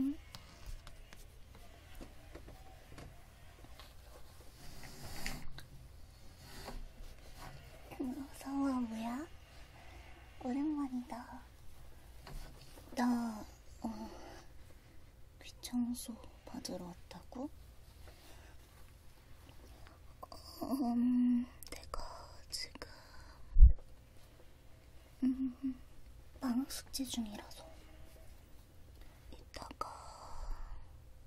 응? 무서워 뭐야? 오랜만이다. 너 어, 귀청소 받으러 왔다고? 음, 내가 지금 음, 방학 숙제 중이라서 이따가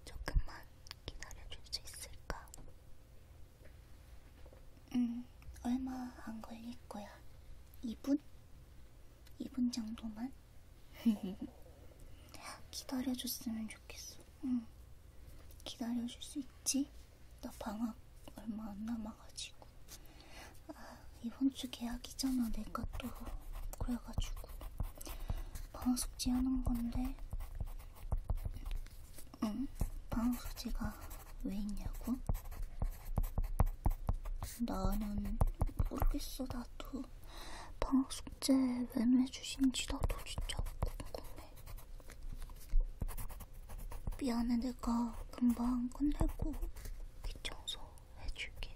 조금만 기다려줄 수 있을까? 음, 얼마 안 걸릴 거야. 2분? 2분 정도만 기다려줬으면 좋겠어. 응. 기다려줄 수 있지? 나 방학 얼마 안 남아가지고. 아, 이번 주 계약이잖아, 내가 또. 그래가지고. 방학 숙제 하는 건데. 응, 방학 숙제가 왜 있냐고? 나는 모르겠어 나도 방학 숙제 왜매 주신지 나도 진짜 궁금해 미안해 내가 금방 끝내고 귀청소 해줄게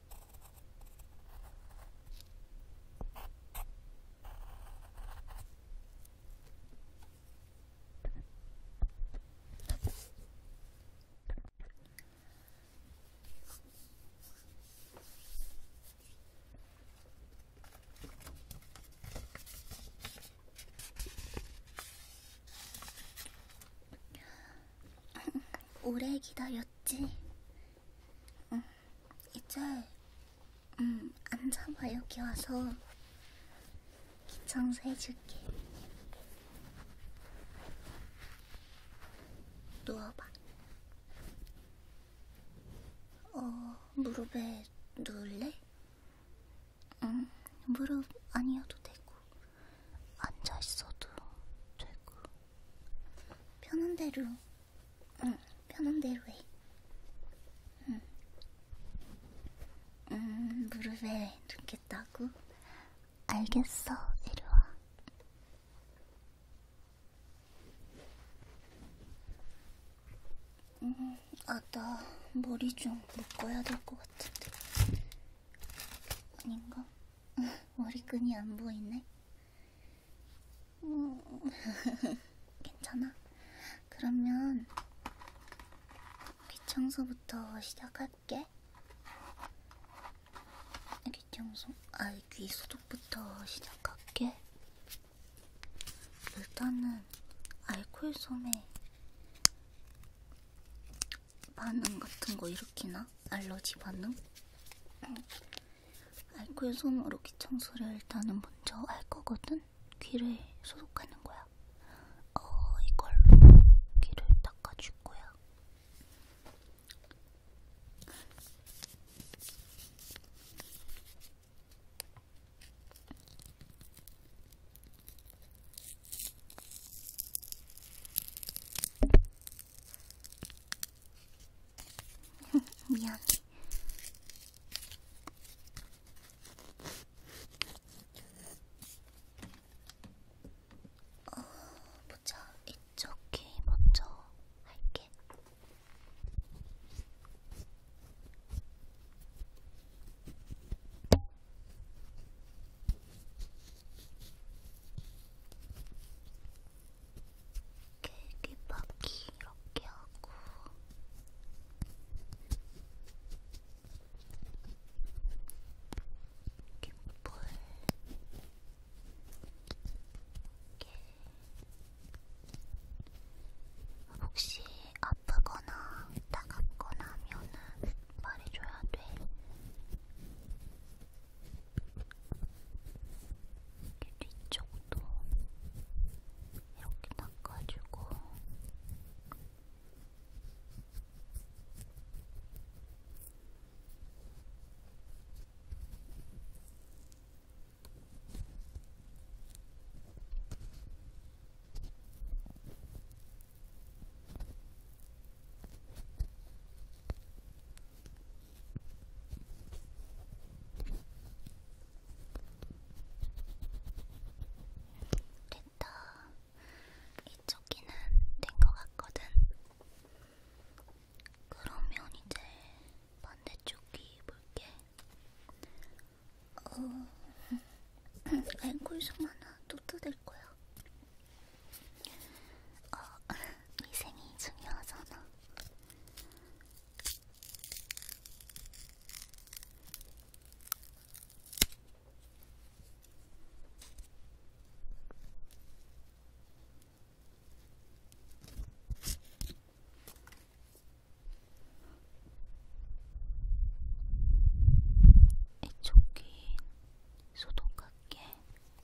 오래 기다렸지. 음, 이제 음, 앉아봐 여기 와서 기청소 해줄게. 누워봐. 어, 무릎에 누울래? 응, 무릎 아니어도 되고, 앉아있어도 되고. 편한 대로, 응, 편한 대로 해. 응. 음, 무릎에 눕겠다고? 알겠어, 이리와. 음, 아, 나 머리 좀 묶어야 될 것 같은데. 아닌가? 머리끈이 안 보이네. 음. 괜찮아? 그러면 귀청소부터 시작할게. 귀청소, 아, 귀 소독부터 시작할게. 일단은 알코올 솜에 반응 같은 거 일으키나? 알러지 반응? 알코올 솜으로 귀 청소를 일단은 먼저 할 거거든? 귀를 소독하는 거야. 어, 이걸로 귀를 닦아줄 거야. 미안. 어, 보자. 이쪽 귀 먼저 할게. 이렇게 립바퀴 이렇게 하고 깃불 이렇게 혹시 아프거나 따갑거나 하면은 말해줘야 돼. 이렇게 뒤쪽도 이렇게 닦아주고 됐다. 이쪽 귀는 된 것 같거든. 그러면 이제 반대쪽 귀 볼게. 어, 알콜 솜 하나 또 뜯을 거야. 어, 위생이 중요하잖아. 이쪽 귀 소독할게.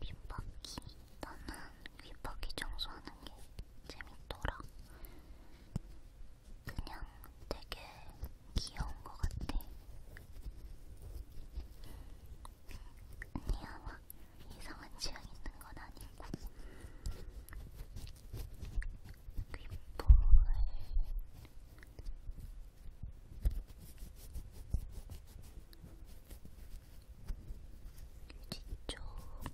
귓바퀴 나는 귓바퀴 청소하는 게 재밌더라. 그냥 되게 귀여운 것 같아. 언니야 막 이상한 취향 있는 건 아니고 귓볼을 뒤쪽 아구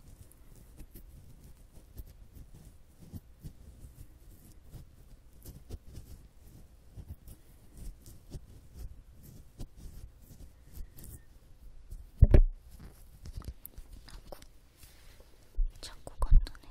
자꾸 건너네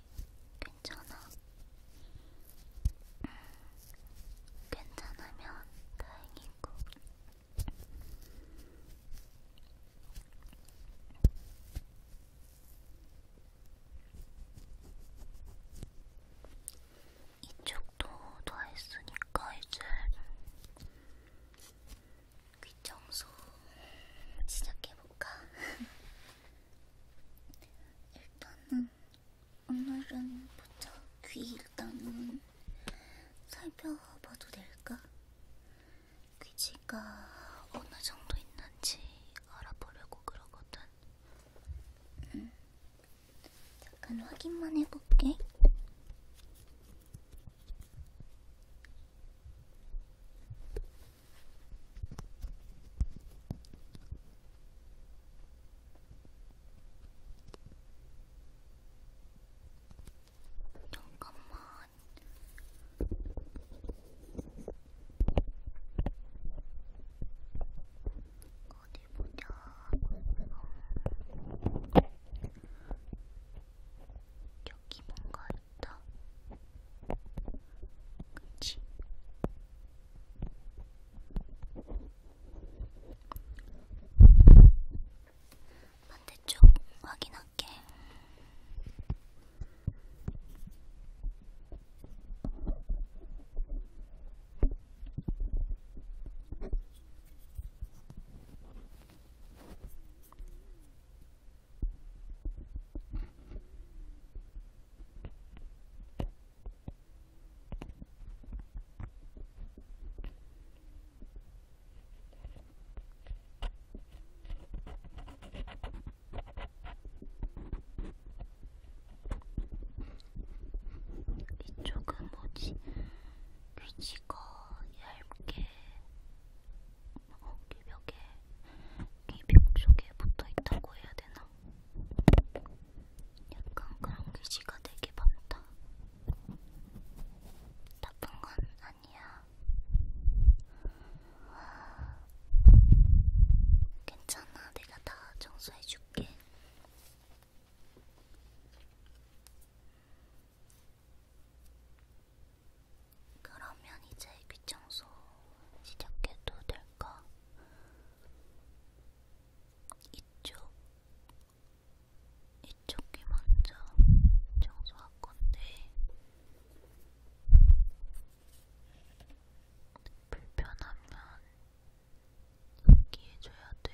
돼. 괜찮아. 음, 괜찮으면 다행이고. 이쪽도 다 했으니까 이제 귀청소 시작해볼까? 일단은 오늘은 보자 귀 일단은 살펴봐도 될까? 귀지가 어느 정도 있는지 알아보려고 그러거든. 음. 잠깐 확인만 해볼게. 잠깐만. 어디 보자. 여기 뭔가 귀엽다. 그치? 반대쪽 확인할게. 이쪽은 뭐지? 귀지가 얇게 어, 벽에 이벽 쪽에 붙어 있다고 해야 되나? 약간 그런 글씨가 되게 많다. 나쁜 건 아니야. 괜찮아, 내가 다 청소해줄게. 그러면 이제 귀청소 시작해도 될까? 이쪽, 이쪽이 먼저 청소할 건데 불편하면 얘기해줘야 돼.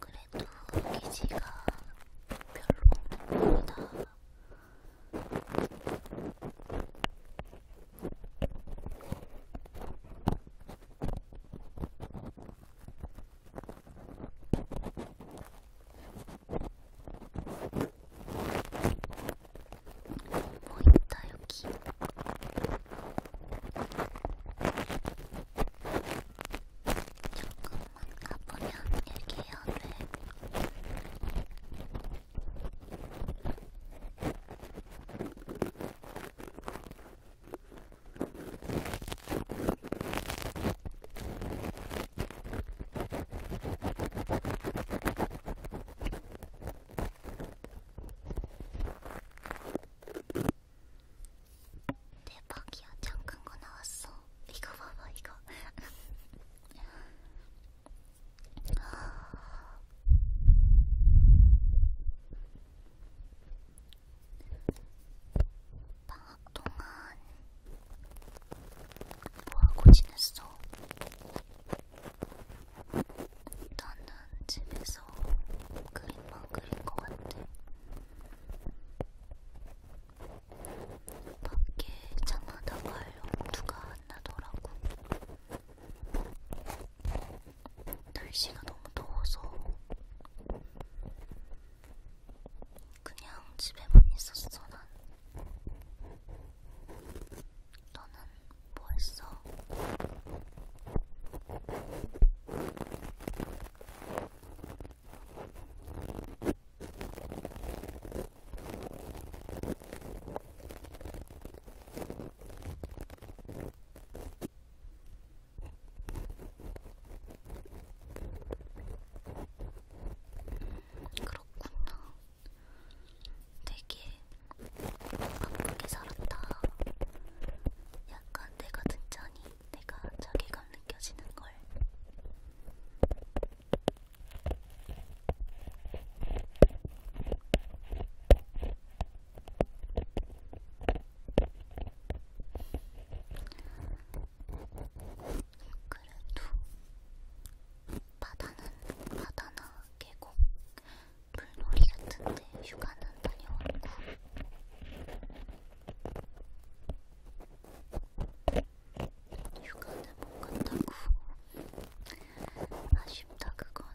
그래도 기지가 별로 없는 것보다 뭐 있다 여기 조금만 가보면 얘기해야 돼 대박이야, 잠깐 거 나왔어. 이거 봐봐, 이거. 방학 동안 뭐하고 지냈어? 나는 집에서 그림만 그린 것 같아. 밖에 장하다가 영두가 안 나더라고. 날씨가 너무 더워서 그냥 집에만 있었어 난. 너는 뭐 했어? 그렇구나. 되게 바쁘게 살았다. 약간 내가 듣자니 내가 자괴감 느껴지는 걸. 그래도 바다는 바다나 계곡, 물놀이 같은데 휴가는 다녀왔고 휴가는 못 간다고 아쉽다 그건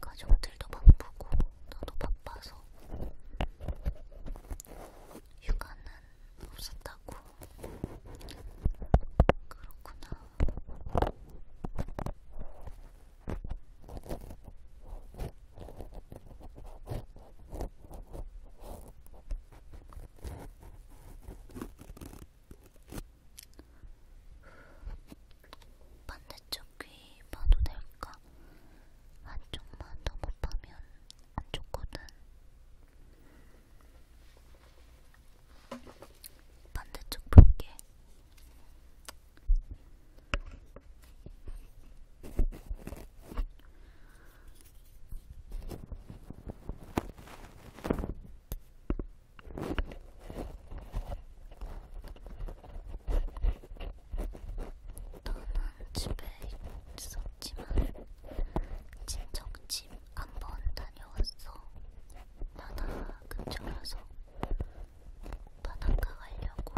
가족들도 바쁘고 나도 바빠서 휴가는 없었다고. 그렇구나. 반대쪽 귀 봐도 될까? 한쪽만 더못 파면 안 좋거든. 반대쪽 볼게. 너는 집에 있었지만 친척 집 한번 다녀왔어. 바다 근처라서 바닷가 가려고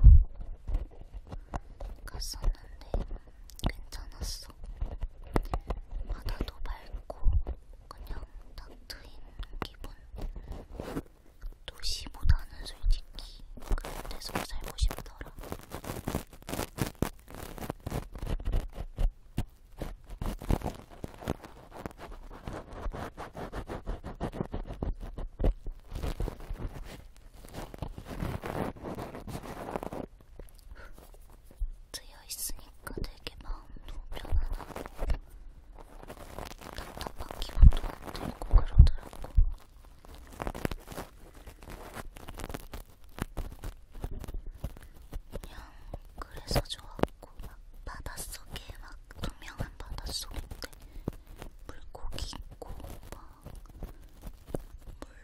갔었는데 괜찮았어. 바다도 맑고 그냥 딱 트인 기분. 도시보다는 솔직히 그런 데서 살고 싶더라. 트여 있으니까 되게 마음도 편안하고 답답한 기분도 안 들고 그러더라고. 그냥 그래서 좋았고 막 바닷속에 막 투명한 바닷속인데 물고기 있고 막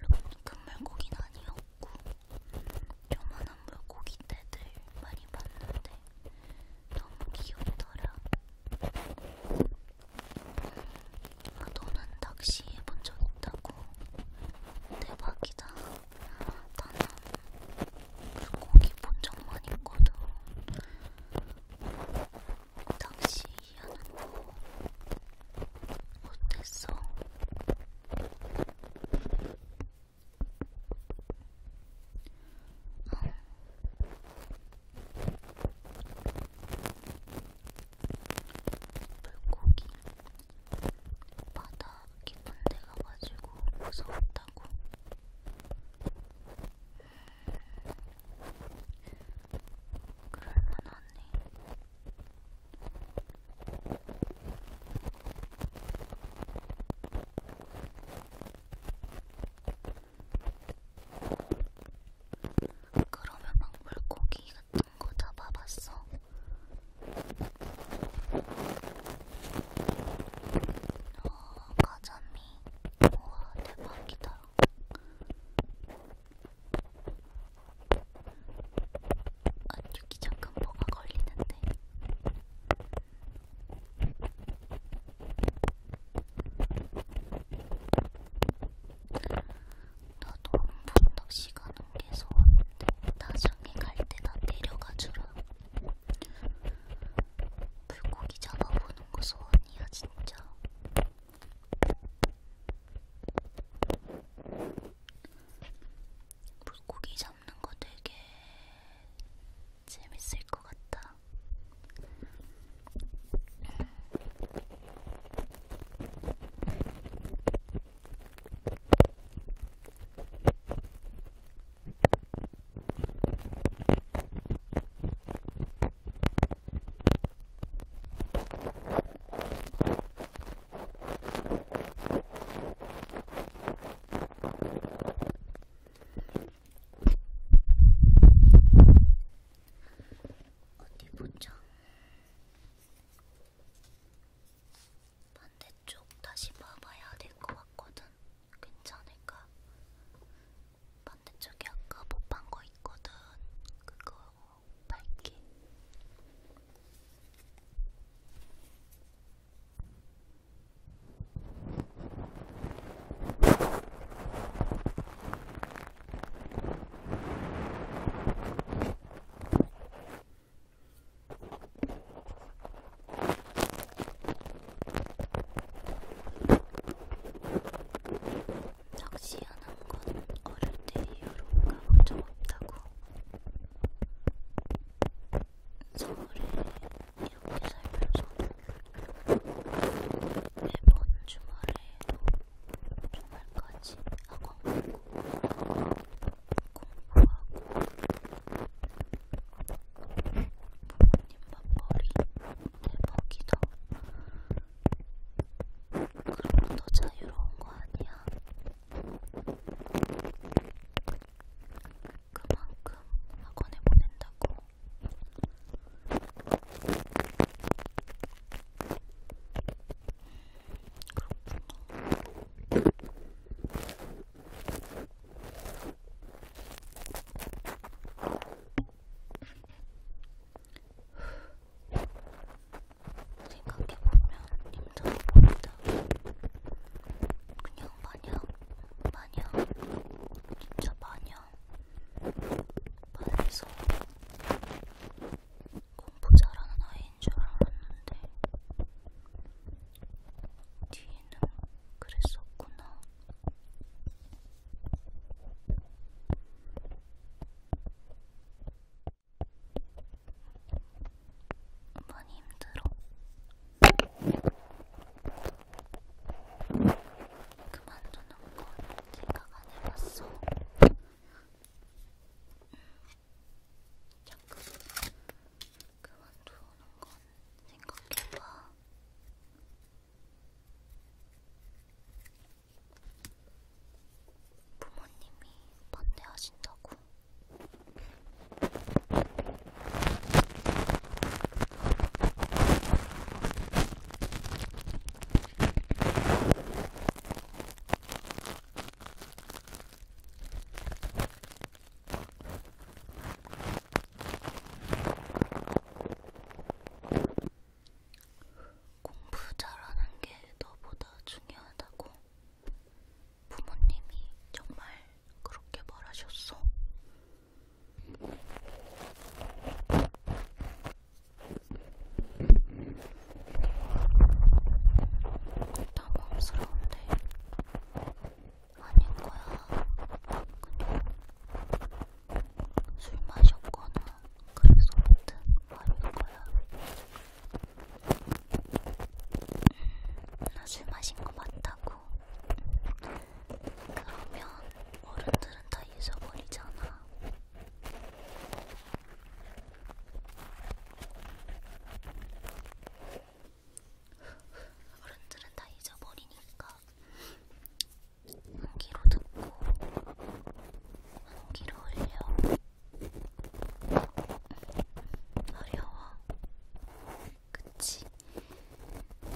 물론 큰 물고기는 아니었고 요만한 물고기 떼들 많이 봤는데 너무 귀엽더라. 아, 너는 낚시 해본 적 있다고? 대박이다. 나는 물고기 본 적만 있거든. 당시 희한한 거 못했어. 응. 물고기 바다 깊은 데 가가지고 무서웠다고. 그럴만 하네. 그러면 막 물고기 같은 거 잡아봤어? 과자미 우와 대박이다 아 여기 잠깐 뭐가 걸리는데 나도 분덕 시간 옮겨서 왔는데 나중에 갈때나 데려가주라 물고기 잡아보는 거 소원이야 진짜. 물고기 잡는 거 되게 재밌을 것 같다. 어디 보자. 반대쪽 다시 봐봐야 될 것 같거든. 괜찮을까? 반대쪽에 아까 못판거 있거든. 그거 밝게. 낚시하는 건 어릴 때 이후로 가본 적 없다고. 서울에 이렇게 살면서 매번 주말에도 주말까지 학원 가고 공부하고 부모님 맞벌이 대박이다. 그럼 더 자유로운 거 아니야? 그만큼 학원에 보낸다고. 그렇구나. 생각해보면 힘들어 보인다. 그냥 마냥, 마냥, 진짜 마냥, 반에서 공부 잘하는 아이인 줄 알았는데, 뒤에는 그랬었구나. 많이 힘들어. 그만두는 건 생각 안 해봤어. 음. 잠깐 그만두는 건 생각해봐. 부모님이 반대하신다고. 공부 잘하는 게 너보다 중요하다고 부모님이 정말 그렇게 말하셨어. 당황스러운데 아닌 거야. 그냥 술 마셨거나 그래서 못한 말인 거야. 나술 마신 거 맞다고. 그러면 어른들은 다 잊어버리잖아. 어른들은 다 잊어버리니까 한기로 듣고 한기로 흘려 어려워 그치?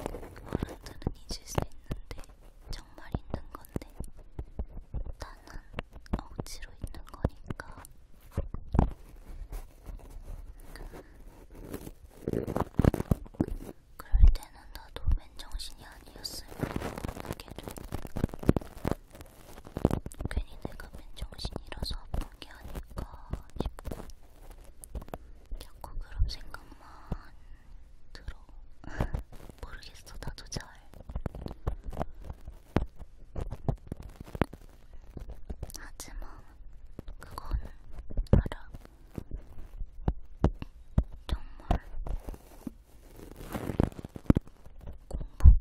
어른들은 잊을 수 있는데 정말 있는 건데 나는 억지로 있는 거니까 그럴 때는 나도 맨정신이 아니었으면 어떻게도 괜히 내가 맨정신이라서 아픈 게 아닐까 싶고 자꾸 그런 생각만 들어 모르겠어 나도 잘 하지만 그건 알아. 정말 공부가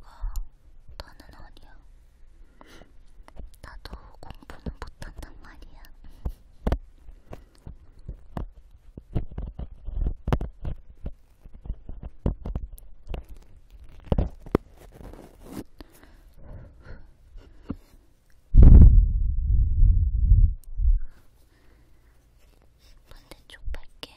다는 아니야. 나도 공부는 못한단 말이야. 반대쪽 밝게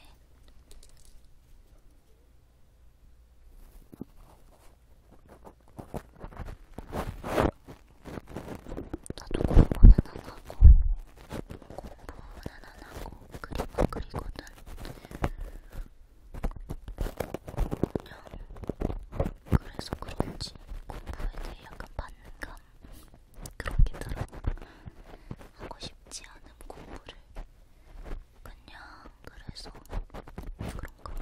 나도 공부는 안 하고 공부는 안 하고 그림만 그리거든. 그래서 그런지 공부에 대해 약간 반감 그런 게 들어. 하고 싶지 않은 공부를 그냥 그래서 그런가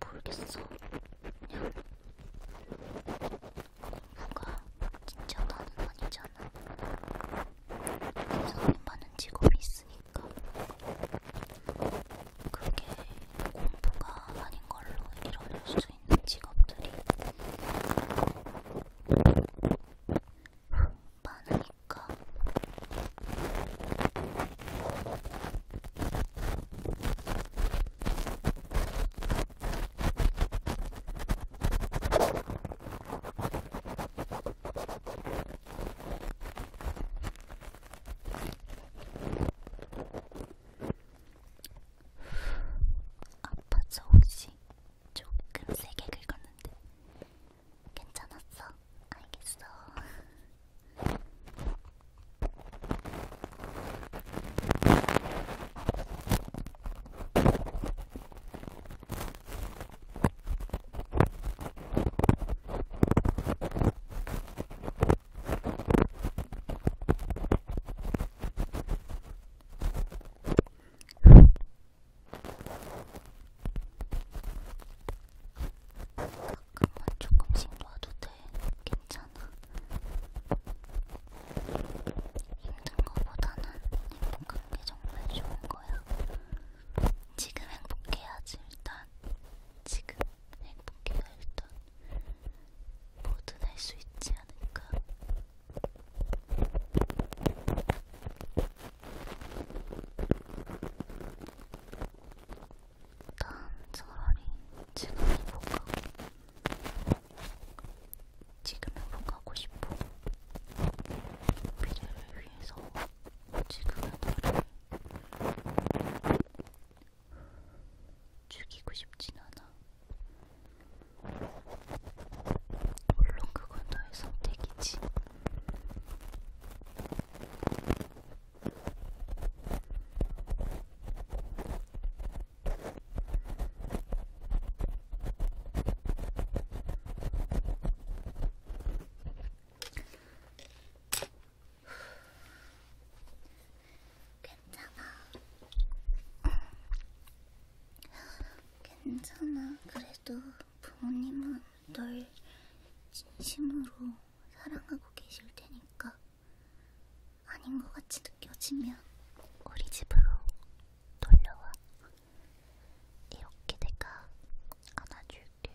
모르겠어. 그냥 공부가 진짜 나는 아니잖아. 세상에 많은 직업이 있으니까. 아니니까 그러니까 그게 공부가 아닌 걸로 이뤄낼 수 있는 직업들이 많으니까 아파서 혹시 조금 세게 긁었는데 괜찮았어? 알겠어. 잠깐만 조금씩 놔도 돼. 괜찮아. 힘든 거보다는 행복한 게 정말 좋은 거야. 지금 행복해야지 일단. 지금 행복해요 일단 뭐든 할 수 있지 않을까 난 차라리 지금 행복하고 지금 행복하고 싶어 미래를 위해서 지금의 나를 죽이고 싶진 않아. 물론 그건 너의 선택이지. 괜찮아. 괜찮아. 그래도 부모님은 널 진심으로 사랑하고 계실 테니까 아닌 것 같이 느껴지면 우리 집으로 돌려와. 이렇게 내가 안아줄게.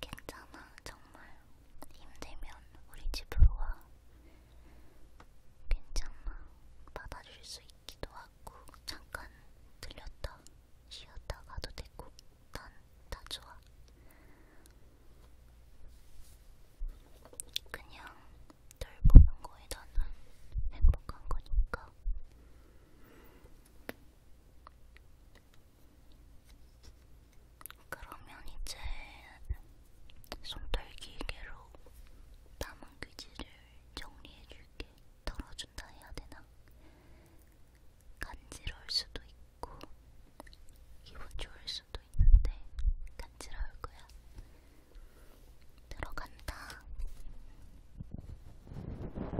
괜찮아, 정말. 힘들면 우리 집으로 와. 괜찮아. 받아줄 수 있기도 하고, 잠깐 들렸다, 쉬었다 가도 되고, 난 다 좋아. 그냥 널 보는 거에 나는 행복한 거니까. 그러면 이제 손털기계로 남은 귀지를 정리해줄게. 털어준다 해야 되나? 간지러울 수도 있고 기분 좋을 수도 있는데 간지러울 거야. 들어간다.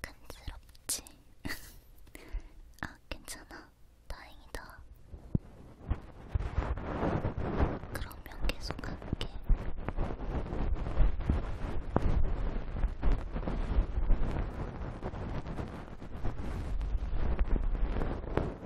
간지럽지? 아, 괜찮아. 다행이다. 그러면 계속 할게.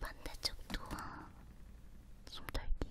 반대쪽도 숨 돌기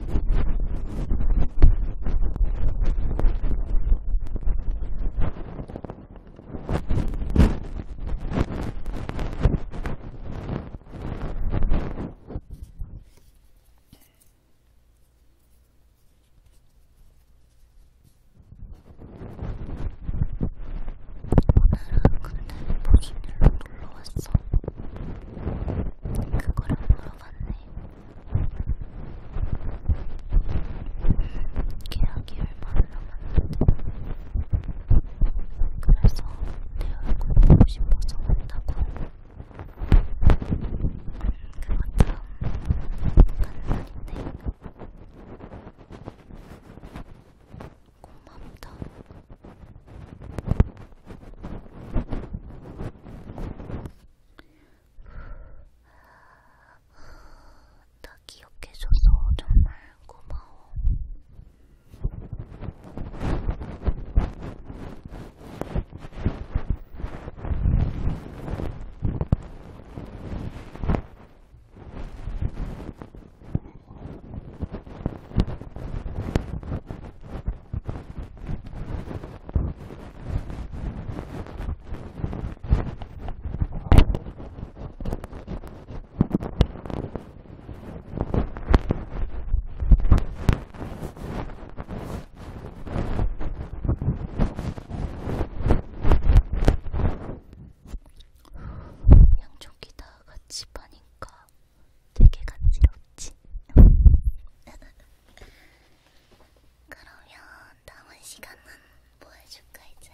오늘은 보신일로 놀러왔어. 그거를 물어봤네. 계약이 얼마나 남았는데 그래서 내 얼굴 보고 싶어서 왔다고 그거 참 간단한데 고맙다 나 기억해줘서 정말 고마워. 양쪽이 다 같이 파니까 되게 간지럽지? 그러면 남은 시간은 뭐 해줄까 이제?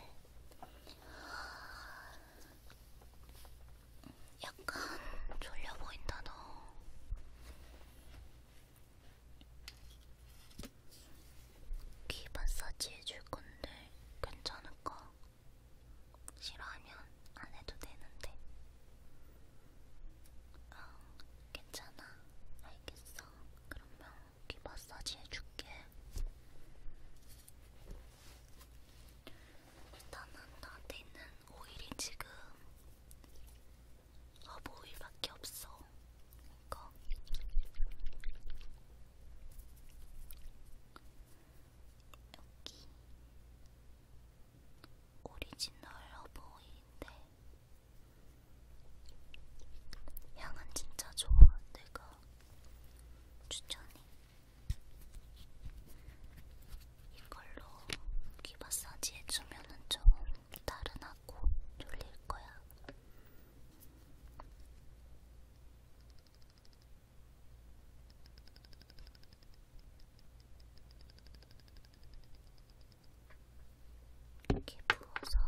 약간 졸려 보인다 너. 귀 마사지 해줄 건데 괜찮을까? 싫어하면 안 해도 되는데. 아, 괜찮아. 알겠어. 그러면 귀 마사지 해줄게. 일단은 나한테 있는 오일이 지금 허브 오일밖에 없어. 이거. 여기. 오리지널 허브오일인데 향은 진짜 좋아. 내가 추천해. 이걸로 귀 마사지 해주면은 좀 다른하고 졸릴 거야. 이렇게 부어서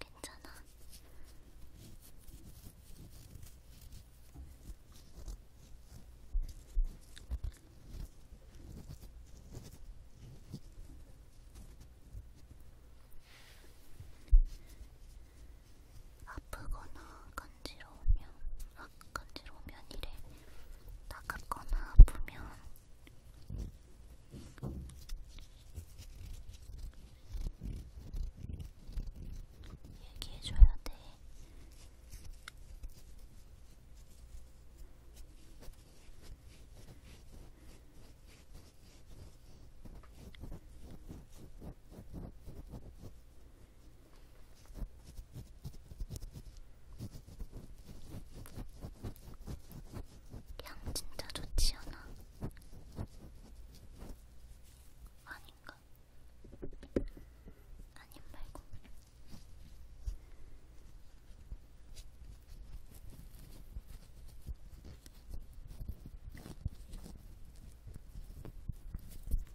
괜찮아. 아프거나 간지러우면, 아, 간지러우면 이래. 따갑거나 아프면, 얘기해줘야 돼. 향 진짜 좋지 않아? 아닌가? 아님 말고.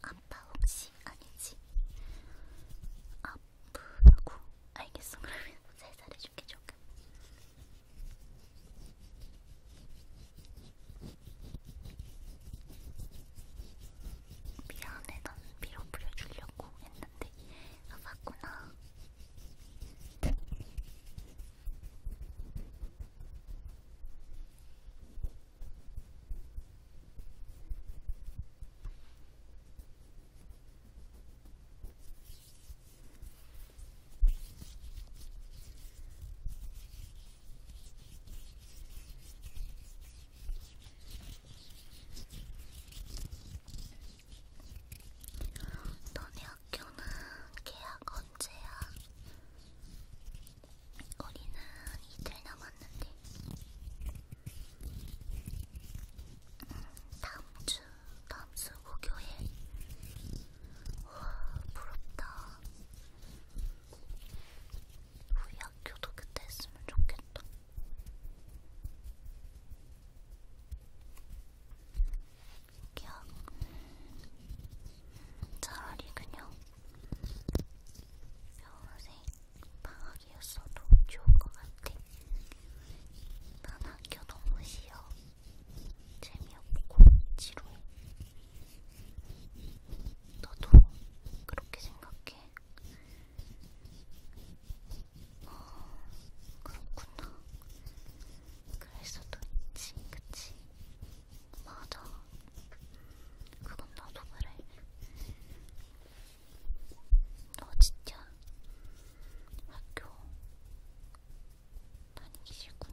아빠 혹시 아니지? 아프다고? 알겠어 그러면 살살해줄게 조금 미안해 난 밀어 뿌려주려고 했는데 아 봤구나 너네 학교는 계약 언제야? 거리는 이틀 남았는데 음, 다음 주 다음 주 목요일 와 부럽다 우리 학교도 그때 했으면 좋겠다. 기억 음, 차라리 그냥 여우생 방학이었어도 좋을 것 같아. 난 학교 너무 싫어. 재미없고 지루해. 너도 그렇게 생각해? 어, 그렇구나. 그래서 도지 그치? 맞아. 그건 나도 그래. 너 진짜 학교 다니기 싫구나.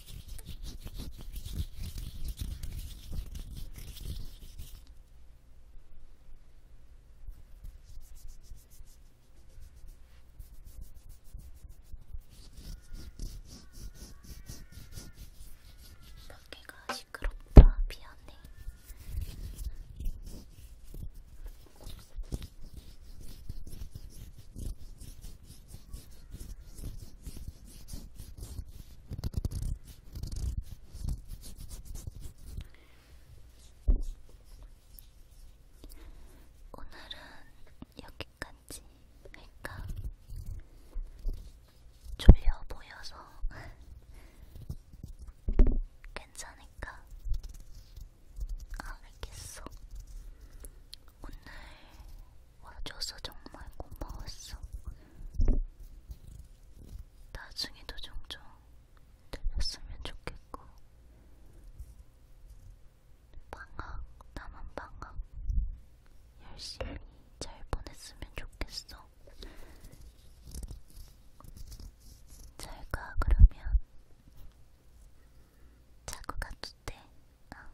밖에가 시끄럽다. 미안해. 오늘은 여기까지 할까? 졸려 보여서 괜찮을까? 아, 알겠어. 오늘 와줘서 정말 고마웠어. 나중에도 종종 들렸으면 좋겠고, 방학, 남은 방학, 열심히 잘 보냈으면 좋겠어. 잘가 그러면 자고 가도 돼. 어.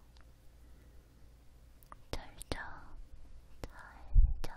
잘자, 잘자.